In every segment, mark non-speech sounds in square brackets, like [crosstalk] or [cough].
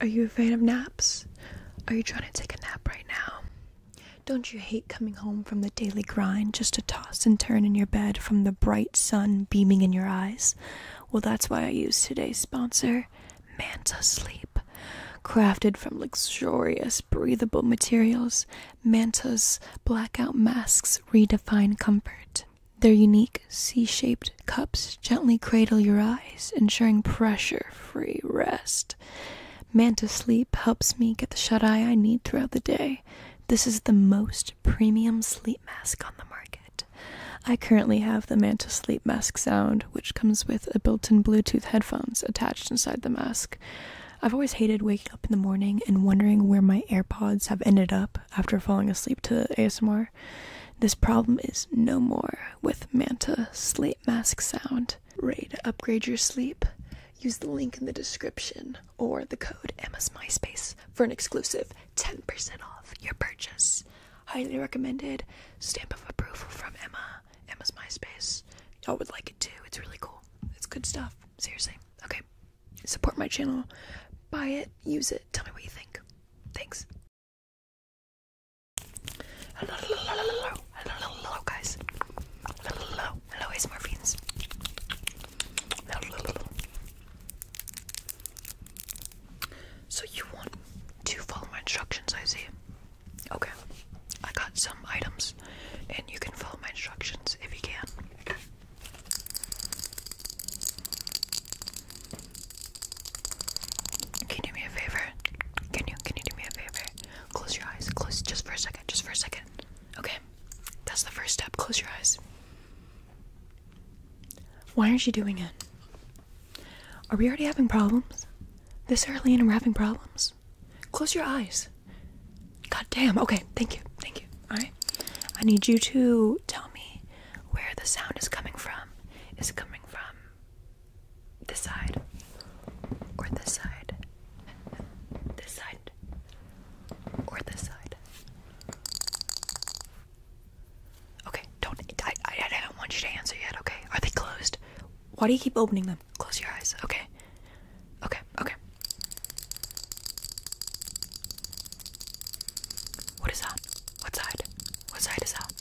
Are you afraid of naps? Are you trying to take a nap right now? Don't you hate coming home from the daily grind just to toss and turn in your bed from the bright sun beaming in your eyes? Well, that's why I use today's sponsor, Manta Sleep. Crafted from luxurious, breathable materials, Manta's blackout masks redefine comfort. Their unique C shaped Cups gently cradle your eyes, ensuring pressure free rest. Manta Sleep helps me get the shut eye I need throughout the day. This is the most premium sleep mask on the market. I currently have the Manta Sleep Mask Sound, which comes with a built in Bluetooth headphones attached inside the mask. I've always hated waking up in the morning and wondering where my AirPods have ended up after falling asleep to ASMR. This problem is no more with Manta Slate Mask Sound. Ready to upgrade your sleep? Use the link in the description or the code Emma's MySpace for an exclusive 10% off your purchase. Highly recommended. Stamp of approval from Emma. Emma's MySpace. Y'all would like it too. It's really cool. It's good stuff. Seriously. Okay. Support my channel. Buy it. Use it. Tell me what you think. Thanks. Hello, hello, hello, guys. Hello, hello, hello, Ace So you want to follow my instructions, I see. Okay. I got some items and you can follow my instructions if you can. Can you do me a favor? Can you can you do me a favor? Close your eyes. Close just for a second. Just for a second. Okay. That's the first step. Close your eyes. Why aren't you doing it? Are we already having problems? This early and are having problems. Close your eyes. God damn. Okay. Thank you. Thank you. All right. I need you to tell me where the sound is coming from is coming from this side or this side, this side or this side. Okay, don't. I, I, I don't want you to answer yet. Okay, are they closed? Why do you keep opening them? Close your eyes. Okay. Okay. Okay. What is that? What side? What side is that?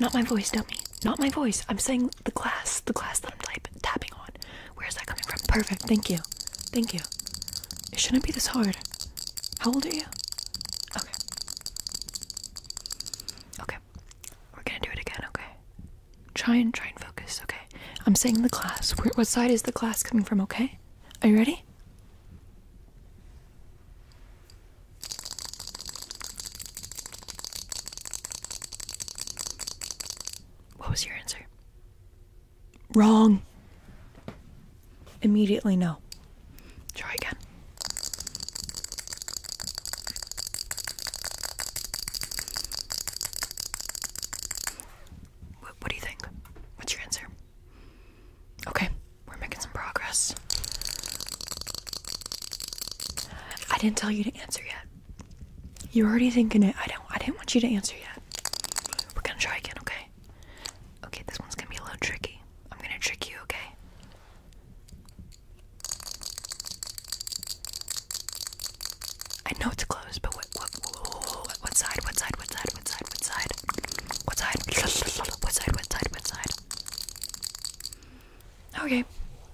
Not my voice, dummy. Not my voice. I'm saying the glass. The glass that I'm type tapping on. Where is that coming from? Perfect. Thank you. Thank you. It shouldn't be this hard. How old are you? Okay. Okay. We're gonna do it again, okay? Try and try and focus, okay? I'm saying the glass. what side is the glass coming from, okay? Are you ready? What was your answer? Wrong. Immediately no. Try again. What, do you think? What's your answer? Okay, we're making some progress. I didn't tell you to answer yet. You're already thinking it. I don't. I didn't want you to answer yet. We're gonna try again, okay? Okay, this one's gonna be a little tricky. I'm gonna trick you, okay? I know it's closed, but What, what side? What side? What side? What side? What side? side? What side? [laughs] What side? What side? What side? Okay.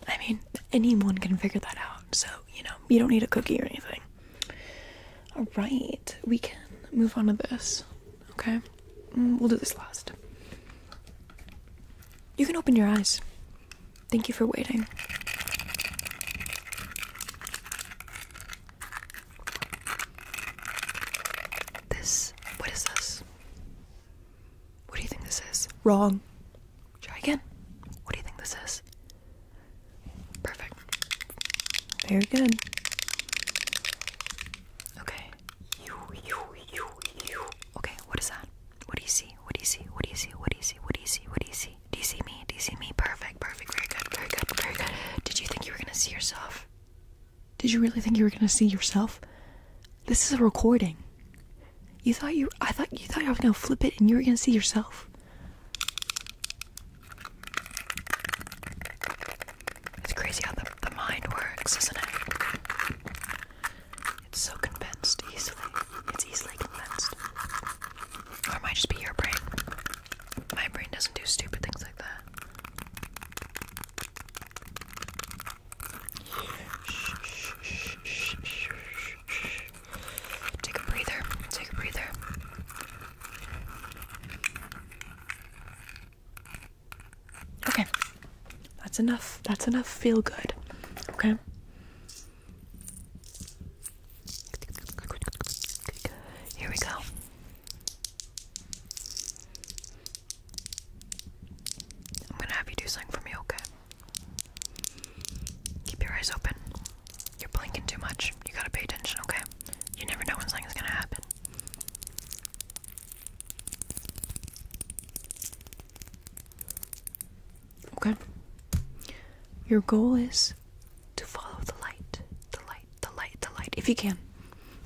I mean, anyone can figure that out. So, you know, you don't need a cookie or anything. Alright, we can move on to this. Okay? Mm, we'll do this last. You can open your eyes. Thank you for waiting. This. What is this? What do you think this is? Wrong. Try again. What do you think this is? Perfect. Very good. Okay. You, you, you, you. Okay, what is that? What do you see? What do you see? What do you see? What do you see? What do you see? What do you see? Do you see me? Do you see me? Perfect, perfect, very good, very good, very good. Did you think you were gonna see yourself? Did you really think you were gonna see yourself? This is a recording. You thought you I thought you thought you were gonna flip it and you were gonna see yourself. It's crazy how the, the mind works, isn't it? It's so convinced easily. It's easily convinced. Or it might just be your brain. My brain doesn't do stupid things like that. Take a breather. Take a breather. Okay. That's enough. That's enough. Feel good. Okay? Here we go. I'm gonna have you do something for me, okay? Keep your eyes open. You're blinking too much. You gotta pay attention, okay? You never know when something's gonna happen. Okay. Your goal is to follow the light, the light, the light, the light, if you can.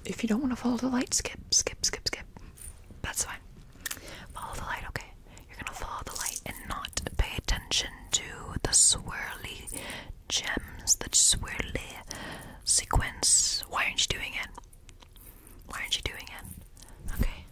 If you don't want to follow the light, skip, skip, skip, skip. That's fine. Follow the light, okay? You're gonna follow the light and not pay attention to the swirly gems, the swirly sequence. Why aren't you doing it? Why aren't you doing it? Okay.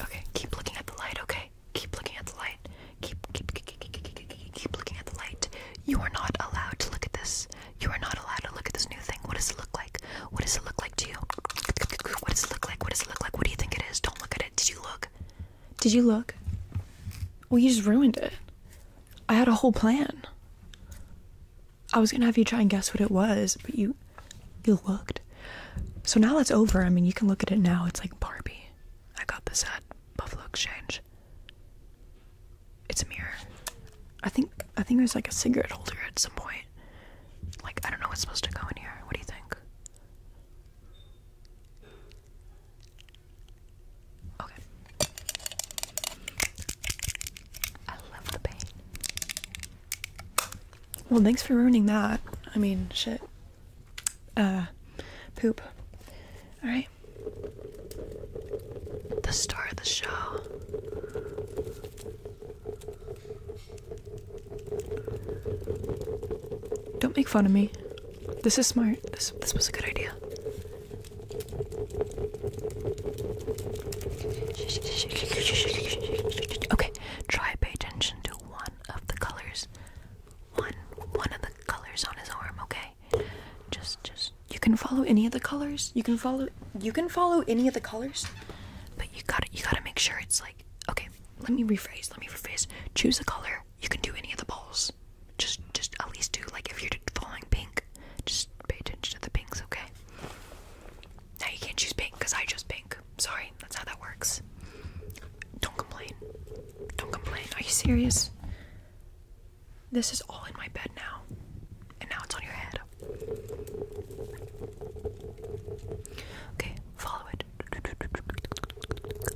Okay, keep looking at the light, okay? Keep looking at the light. Keep keep keep, keep, keep, keep, keep looking at the light. You are not allowed to look at this. You are not allowed to look at this new thing. What does it look like? What does it look like to you? What does it look like? What does it look like? What do you think it is? Don't look at it. Did you look? Did you look? Well, you just ruined it. I had a whole plan. I was gonna have you try and guess what it was, but you you looked. So now that's over. I mean, you can look at it now. It's like Barbie. I got this at Buffalo Exchange. It's a mirror. I think I think there's like a cigarette holder at some point. Like I don't know what's supposed to go in here. What do you think? Okay. I love the pain. Well, thanks for ruining that. I mean, shit. Uh, poop. Alright. The star of the show. Don't make fun of me. This is smart. This, this was a good idea. Okay, try pay attention to one of the colors. One one of the colors on his arm, okay? Just just you can follow any of the colors. You can follow you can follow any of the colors. But you gotta you gotta make sure it's like okay, let me rephrase, let me rephrase. Choose a color you can do any of the balls. Just, just at least do like if you're following pink, just pay attention to the pinks, okay? Now you can't choose pink because I chose pink. Sorry, that's how that works. Don't complain. Don't complain. Are you serious? This is all in my bed now, and now it's on your head. Okay, follow it.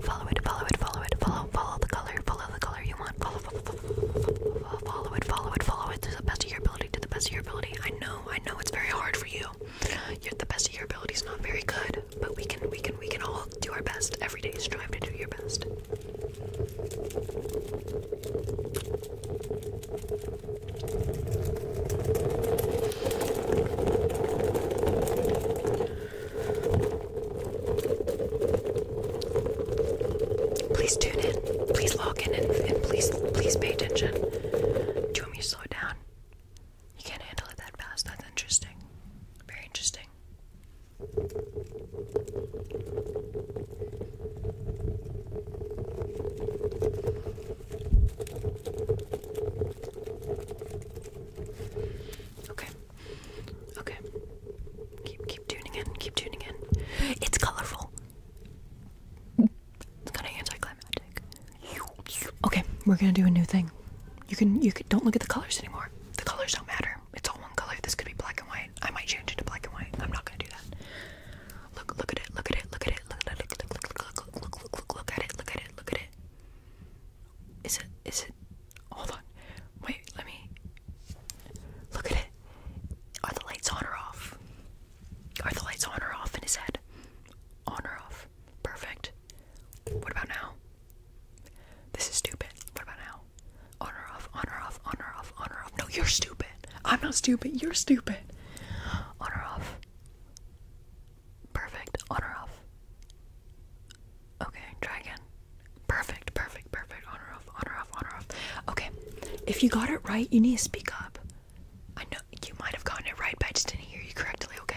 Follow it, follow it, follow it, follow, follow the color, follow the color you want, follow, follow, follow, follow it, follow it, follow it to the best of your ability, to the best of your ability. I know, I know it's very hard for you. You're the best of your abilities, not very good, but we can, we can, we can all do our best every day. Strive to do your best. Please tune in. Please log in and, please please pay attention. Do you want me to slow down? You can't handle it that fast. That's interesting. Very interesting. Okay. Okay. Keep keep tuning in. Keep tuning in. It's colorful. It's kind of anticlimactic. Okay, we're gonna do a new thing. You can you can don't look at the colors anymore. The colors don't matter. It's all one color. This could be black and white. I might change it to black and white. I'm not gonna do that. Look look at it. Look at it. Look at it. Look at it. Look look look look look look look look look at it. Look at it. Look at it. Is it? Is it? Hold on. Wait. Let me look at it. Are the lights on or off? Are the lights on or off in his head? On or off? Perfect. What about now? This is stupid. What about now? On or off? On or off? On or off? On or off? No, you're stupid. I'm not stupid. You're stupid. On or off? Perfect. On or off? Okay, try again. Perfect, perfect, perfect. On or off, on or off, on or off. Okay, if you got it right, you need to speak up. I know you might have gotten it right, but I just didn't hear you correctly, okay?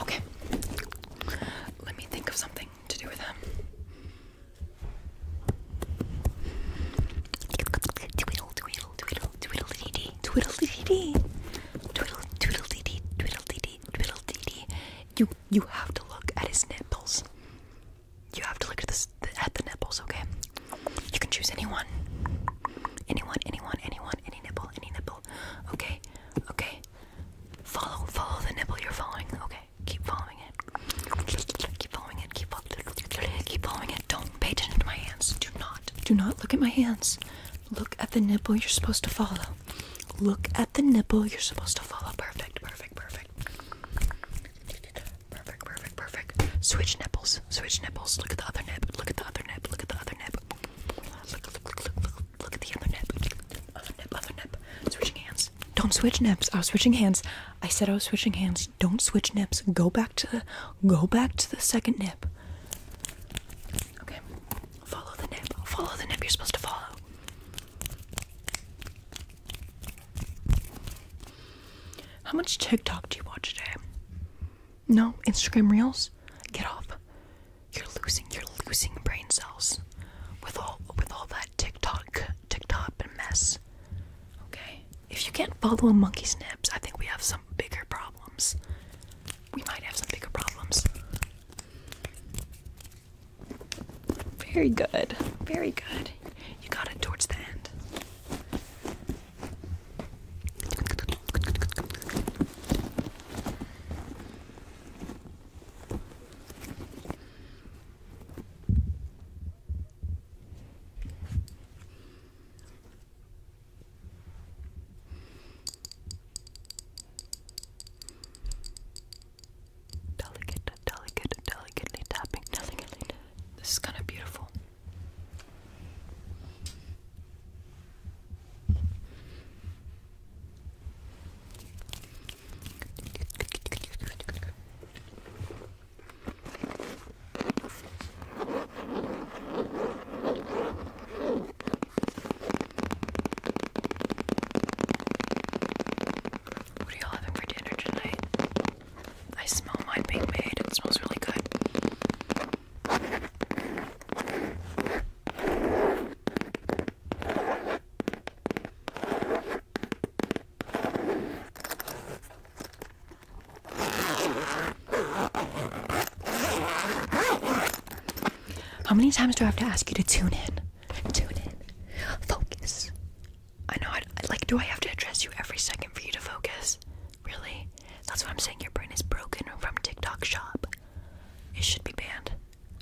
Okay. Let me think of something to do with him. Twiddle, twiddle, twiddle, twiddle, dee dee, twiddle, dee dee, twiddle, twiddle, dee dee, twiddle, dee dee, twiddle, dee dee. You, you have to look at his nipples. You have to look at this at the nipples, okay? You can choose anyone, anyone, anyone, anyone, any nipple, any nipple, okay? Okay. Follow, follow the nipple you're following. Okay. Keep following it. Keep following it. Keep following it. Keep following it. Don't pay attention to my hands. Do not. Do not look at my hands. Look at the nipple you're supposed to follow. Look at the nipple you're supposed to follow. Perfect, perfect, perfect. Perfect, perfect, perfect. Switch nipples. Switch nipples. Look at the other nipple. Look at the other nipple. Look at the other nipple. Don't switch nips. I was switching hands. I said I was switching hands. Don't switch nips. Go back to the go back to the second nip. Okay. Follow the nip. Follow the nip you're supposed to follow. How much TikTok do you watch today? No, Instagram Reels? Get off. You're losing you're losing brain cells with all with all that TikTok TikTok mess. Okay? If you can't follow a monkey's snips, I think we have some bigger problems. We might have some bigger problems. Very good. Very good. You got it towards the end. Delicate, delicate, delicately tapping, delicately. This is kind of beautiful. What are y'all having for dinner tonight? I smell my Big Maid. It smells really good. How many times do I have to ask you to tune in? Tune in. Focus. I know, I, like, do I have to address you every second for you to focus? Really? That's why I'm saying. Your brain is broken from TikTok shop. It should be banned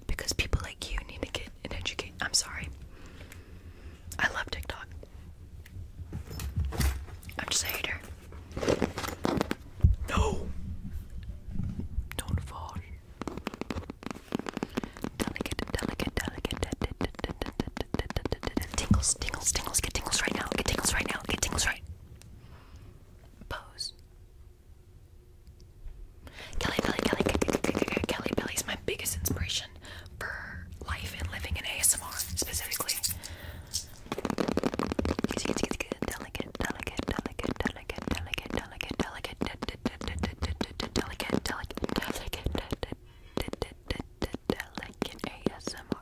because people like you need to get an educate. I'm sorry. I love TikTok. I'm just a hater. No! Don't fall. Delicate, delicate, delicate, Tingles, tingles, tingles. Get tingles right now. Get tingles right now. Get tingles right. Pose. Kelly Belly, Kelly, Kelly Belly is my biggest inspiration for life and living in ASMR specifically. Delicate, delicate, delicate, delicate, delicate, delicate, delicate, delicate, delicate, delicate, delicate, delicate ASMR.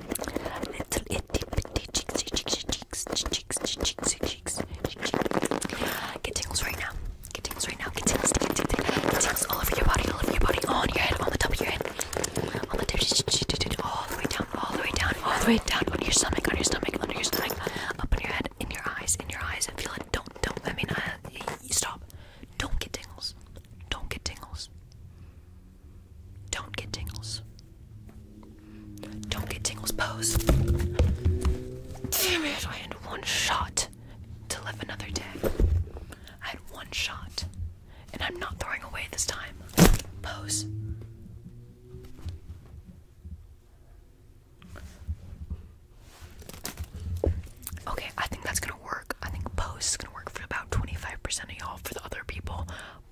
Little itty bitty cheeks, cheeks, cheeks, cheeks, cheeks, cheeks, Get tingles right now. Get tingles right now. Get tingles, get tingles, get tingles all over your body, all over your body, on your head, on the top of your head, on the top, all the way down, all the way down, all the way down, on your stomach, on your stomach, under your stomach, up in your head, in your eyes, in your eyes. I feel it. Don't, don't. I mean, I, stop. Don't get tingles. Don't get tingles. Don't get tingles. Don't get tingles, pose. Damn it, I had one shot to live another day. I had one shot, and I'm not throwing away this time. Pose. Okay, I think that's gonna work. I think pose is gonna work for about 25% of y'all. For the other people,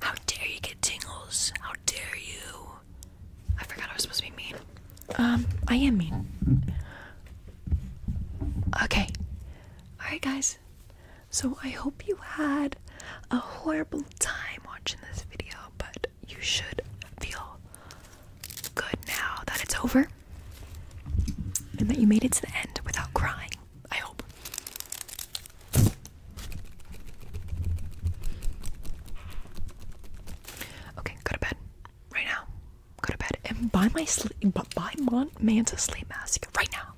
How dare you get tingles? How dare you? I forgot I was supposed to be mean. Um, I am mean. Okay. Alright, guys. So I hope you had a horrible time watching this video, but you should feel good now that it's over and that you made it to the end without crying. I hope. Okay, go to bed right now. Go to bed and buy my sleep, buy Mon Man's sleep mask right now.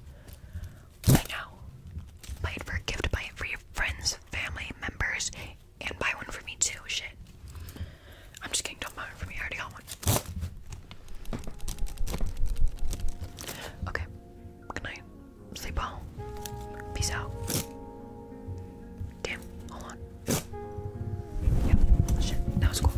Right now. Buy it for a gift. Buy it for your friends, family members, and buy one for me too. Shit. I'm just kidding. Don't buy one for me. I already got Okay. Good night. Sleep well. Peace out. Damn. Hold on. Yep. Shit. That was cool.